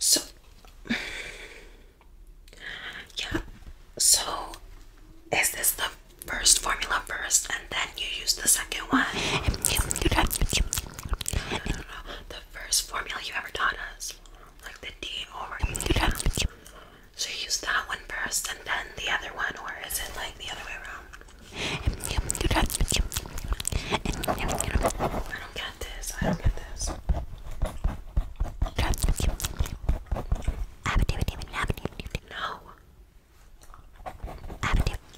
So, yeah, so is this the first formula first and then you use the second one? the first formula you ever taught us, like the D over So you use that one first and then the other one, or is it like the other way around? don't get this. I don't get this. No.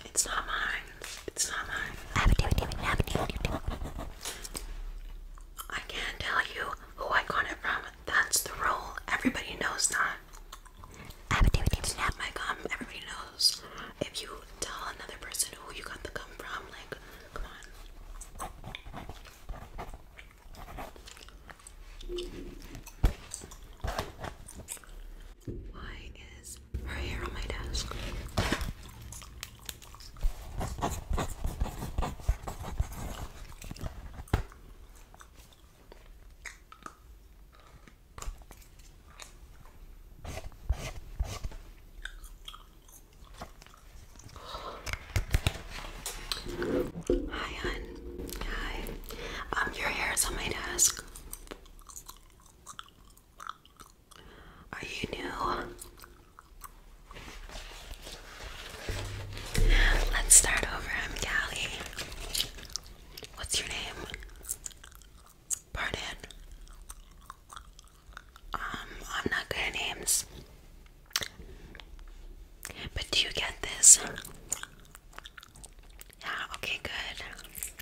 It's not mine. It's not mine. I can't tell you who I got it from. That's the rule. Everybody knows that. It's not my gum. Everybody knows. If you tell another person who you got the gum from. Like, come on. Why is her hair on my desk? Hi, hun. Hi. Um, your hair is on my desk. Are you new? Let's start over. i What's your name? Pardon. Um, I'm not good at names. But do you get this? Yeah, okay, good.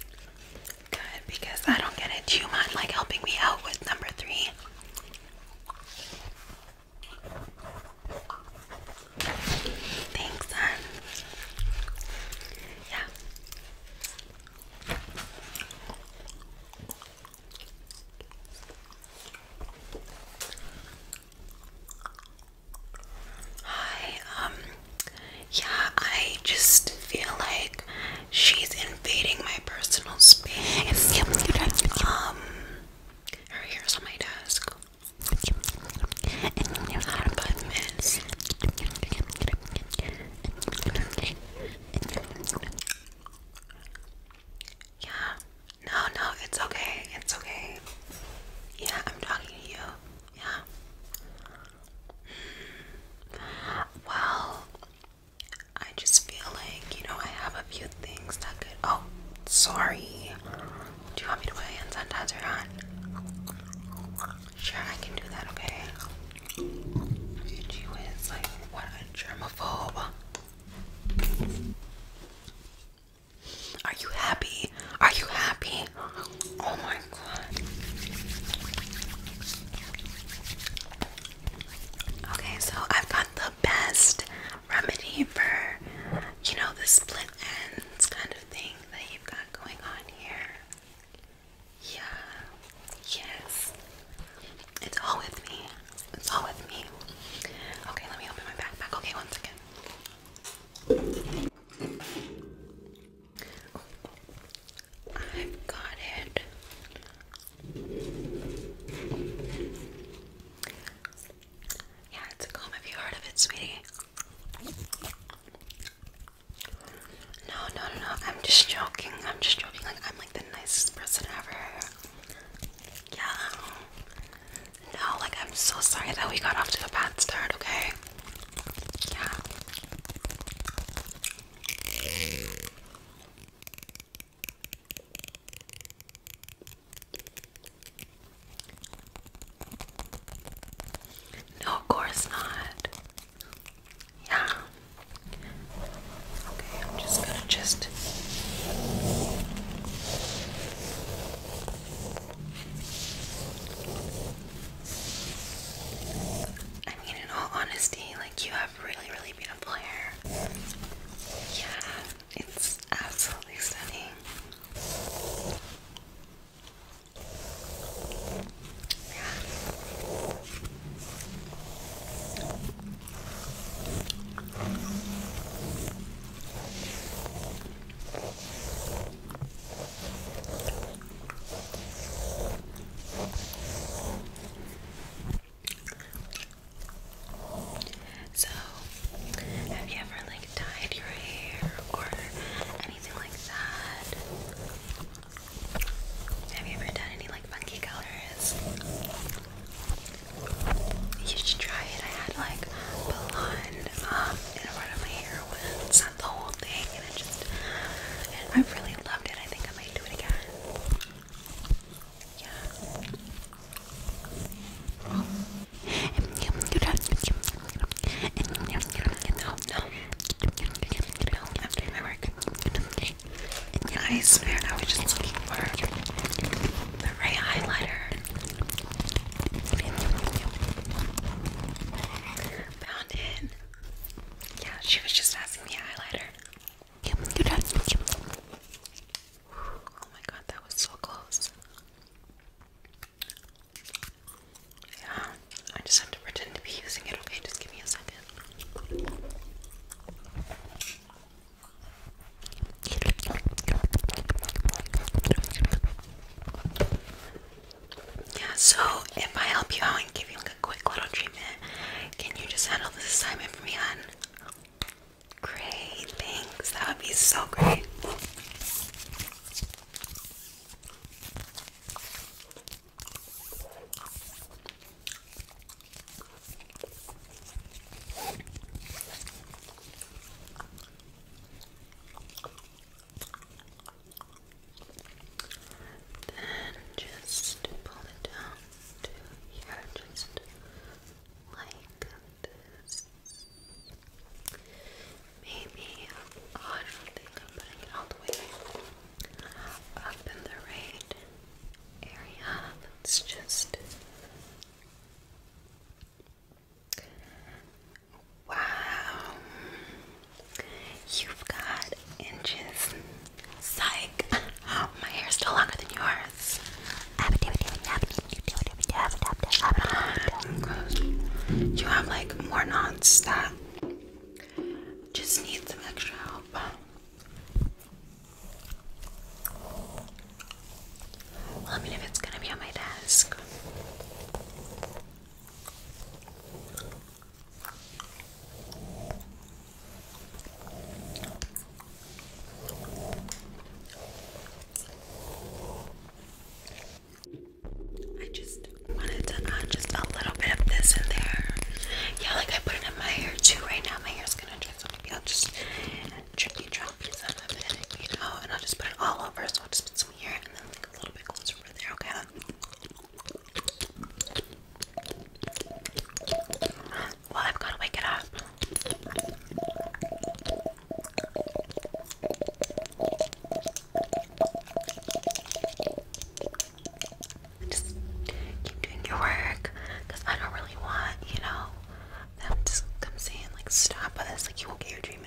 Good, because I don't get it. you mind like helping me out with number three? Thanks, son. Yeah. Hi, um, yeah, I just feel like she's invading my personal space. Um, her hair's on my desk. Yeah. No, no, it's okay. It's okay. Yeah, I'm talking to you. Yeah. Well, I just feel like, you know, I have a few things that could. Oh, sorry. Do you want me to put my hands on? Sure, I can do that, okay? She was like, what a germaphobe. Are you happy? Are you happy? Oh my god. Okay, so I've got the best remedy for, you know, the split ends kind of thing that you've got going on here. Yeah, yes. It's all with me. It's all with me. Okay, let me open my backpack. Okay, one second. I've got it. Yeah, it's a comb. Have you heard of it, sweetie? No, no, no, no. I'm just joking. I'm just joking. Like I'm like the nicest person ever. Yeah. No, like I'm so sorry that we got off to a bad start. Okay. Yeah. No, of course not. Yeah. Okay, I'm just gonna just. I mean, in all honesty, like you have really, really beautiful hair. Yeah, it's absolutely stunning. So, have you ever like dyed your hair or have you ever done any like funky colors? You should try it. I had like blonde um, in a part of my hair once, not the whole thing, and I just I really loved it. I think I might do it again. Yeah i I swear I was just looking for the ray highlighter. Found it. Yeah, she was just asking me highlighter. Oh my god, that was so close. Yeah, I just have to pretend to be using it, okay? Just give me a second. Yeah, so if I help you out and give you like a quick little treatment, can you just handle this assignment for me, hon? Great, thanks. That would be so great. Then just pull it down to here, just like this. Maybe, I don't think I'm putting it all the way up in the right area. let just. Wow, you've got inches. Psych, my hair's still longer than yours. You have like more knots that just need some extra help. Well, I mean, if it's gonna be on my desk. I just wanted to add just a little bit of this in there. Yeah, like I put it in my hair too right now. My hair's gonna dry, so just tricky drop piece and I'll just put it all over. So I'll just put some here and then like a little bit closer over there, okay? Well, I've gotta wake it up. Just keep doing your work I don't really want, you know, them to come saying, like, stop us, like, you won't get your dream treatment.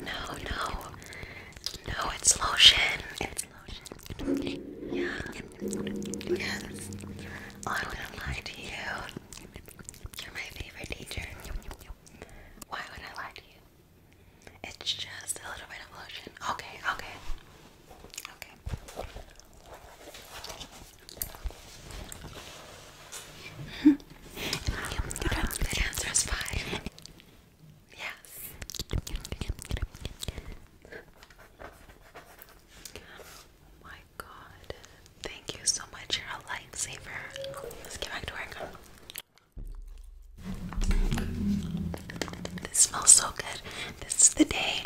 No, no, no, it's lotion. Yeah. Yes. I'm going lie to you. You're my favorite teacher. Why would I lie to you? It's just a little bit of lotion. Okay, okay. Okay. The answer is five. Yes. Oh my god. Thank you so much. You're a lifesaver. Let's get back to work. This smells so good. This is the day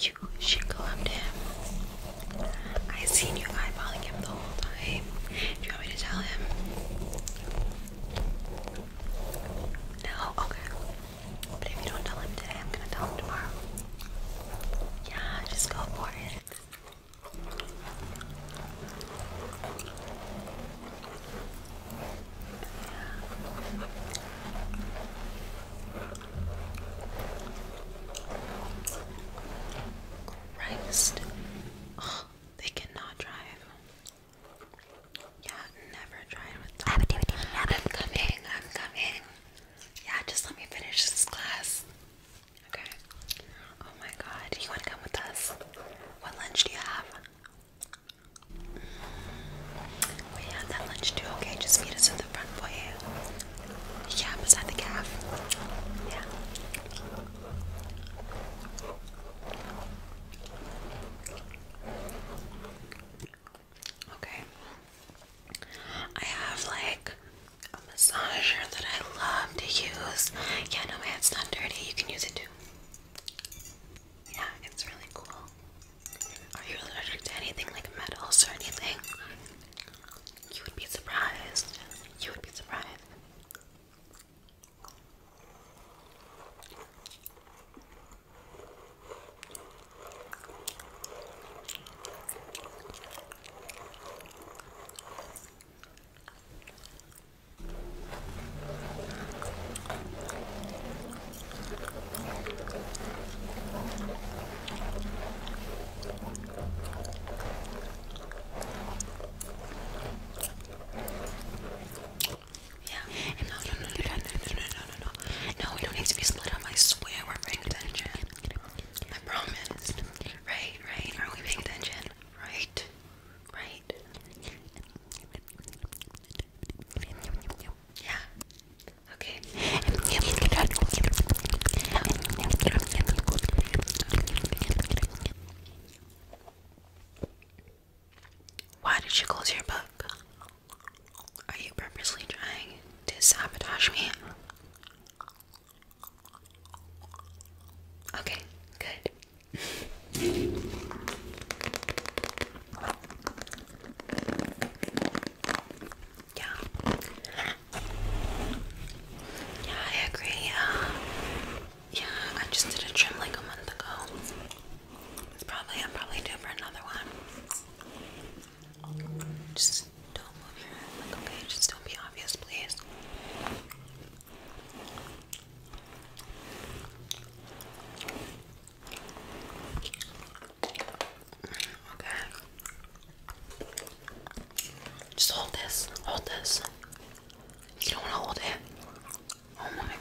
you should go up to him. I have seen you eyeballing him the whole time. Do you want me to tell him? No? Okay. But if you don't tell him today, I'm gonna tell him tomorrow. Yeah, just go for it. Christ. they cannot drive. Yeah, never drive with them. I'm coming, I'm coming. Yeah, just let me finish this class. Okay. Oh my god, you want to come with us? What lunch do you have? We had that lunch too. Okay, just meet us at the front foyer. Yeah, beside the calf. Yeah. Okay. I have like a massager that I love to use. Yeah, no, my head's not dirty. You can use it too. Yeah, it's really cool. Are you allergic to anything like metals or anything? You would be surprised. You would be surprised. Yeah. no, no, no, no, no, no, no, no, no, no. No, we don't need to be split up. I swear we're paying attention. I promise. Right, right. Are we paying attention? Right, right. Yeah. Okay. Why did you close your book? Are you purposely trying to sabotage me? Okay, good. Yeah. Yeah, I agree. Uh, yeah, I just did a trim like a month ago. probably I'm probably due for another one. Just don't move your head like okay, just don't be obvious, please. Okay. Just hold this. Hold this. You don't want to hold it. Oh my.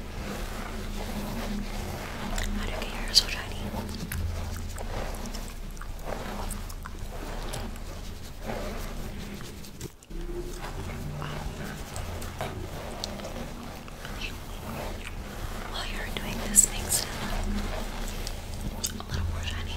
I do you get your so shiny? While you're doing this, makes it a little more shiny.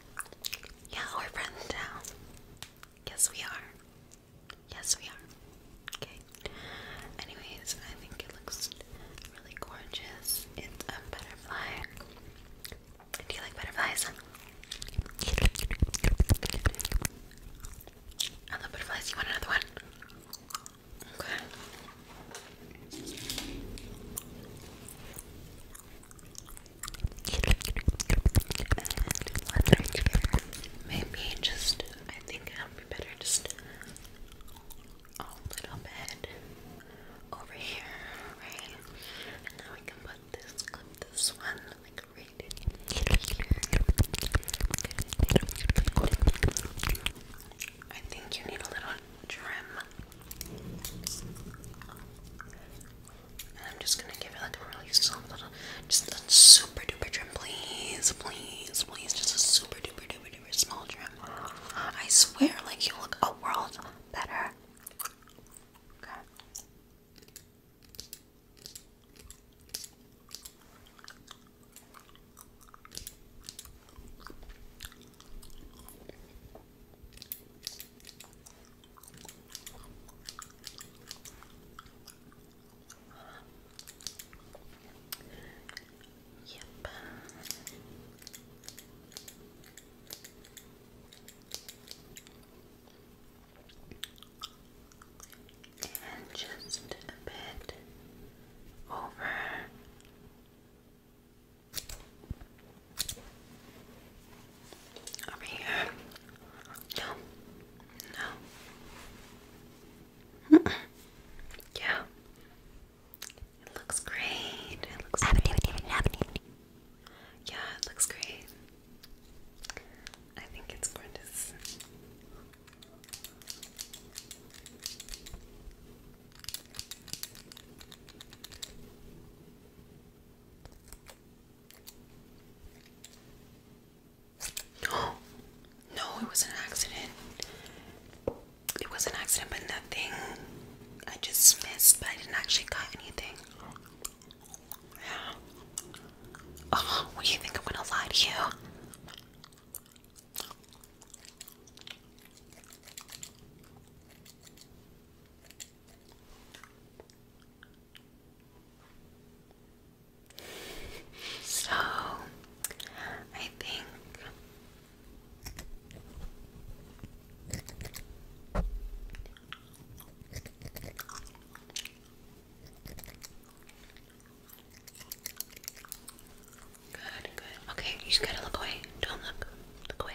Yeah, we're friends now. Yes, we are. Yes, we are. Okay. Anyways, I think it looks really gorgeous. It's a butterfly. Do you like butterflies? I love butterflies. You want another one? Okay maybe just, I think it would be better just a little bit over here, right? And then we can put this this one, like right here. I think you need a little trim. I'm just gonna give it like a really soft just a super duper trim, please, please, please, just a super duper duper duper small trim. I swear, like you look a world better. Okay. Yep. And just a bit over over here. No. No. Yeah. It looks great. Yeah, it looks great. I think it's gorgeous. Oh, no, it was an accident. It was an accident, but nothing. I just missed, but I didn't actually cut anything. Yeah. Oh, do you think I'm gonna lie to you? So, I think Good, good. Okay, you just gotta look away. Don't look. Look away.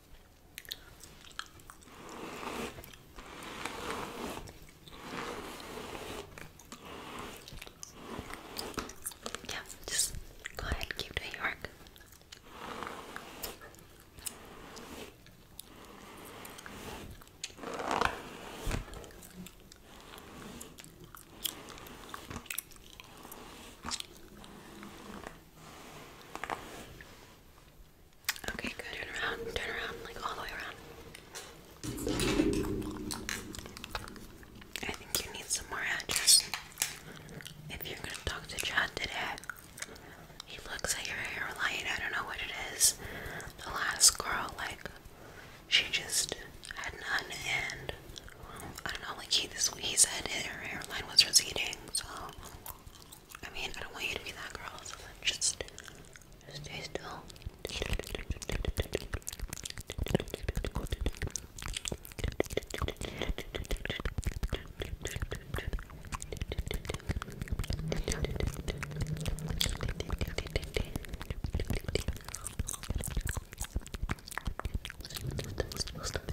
Yeah, just go ahead keep doing your work. Okay, good. Turn around, turn around, like all the way around. I think you need some more address. If you're gonna talk to Chad today, he looks at your hairline. I don't know what it is. The last girl, like, she just had none, and I don't know. Like he, he said her hairline was receding, so I mean, I don't want you to be that girl, so then just stay still. Okay.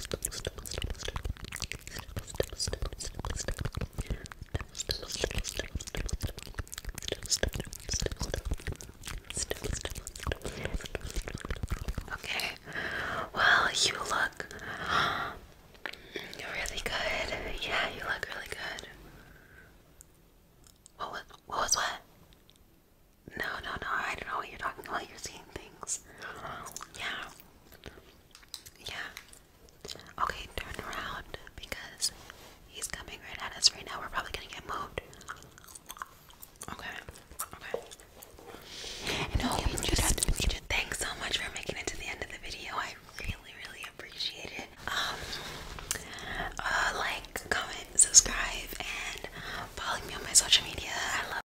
Well, you look really good. Yeah, you look really good. What was what was what? No, no, no. I don't know what you're talking about. You're seeing things. Yeah. Yeah. Okay, turn around because he's coming right at us right now. We're probably gonna get moved. Okay. Okay. no, just, thanks so much for making it to the end of the video. I really, really appreciate it. Um uh, like, comment, subscribe, and follow me on my social media. I love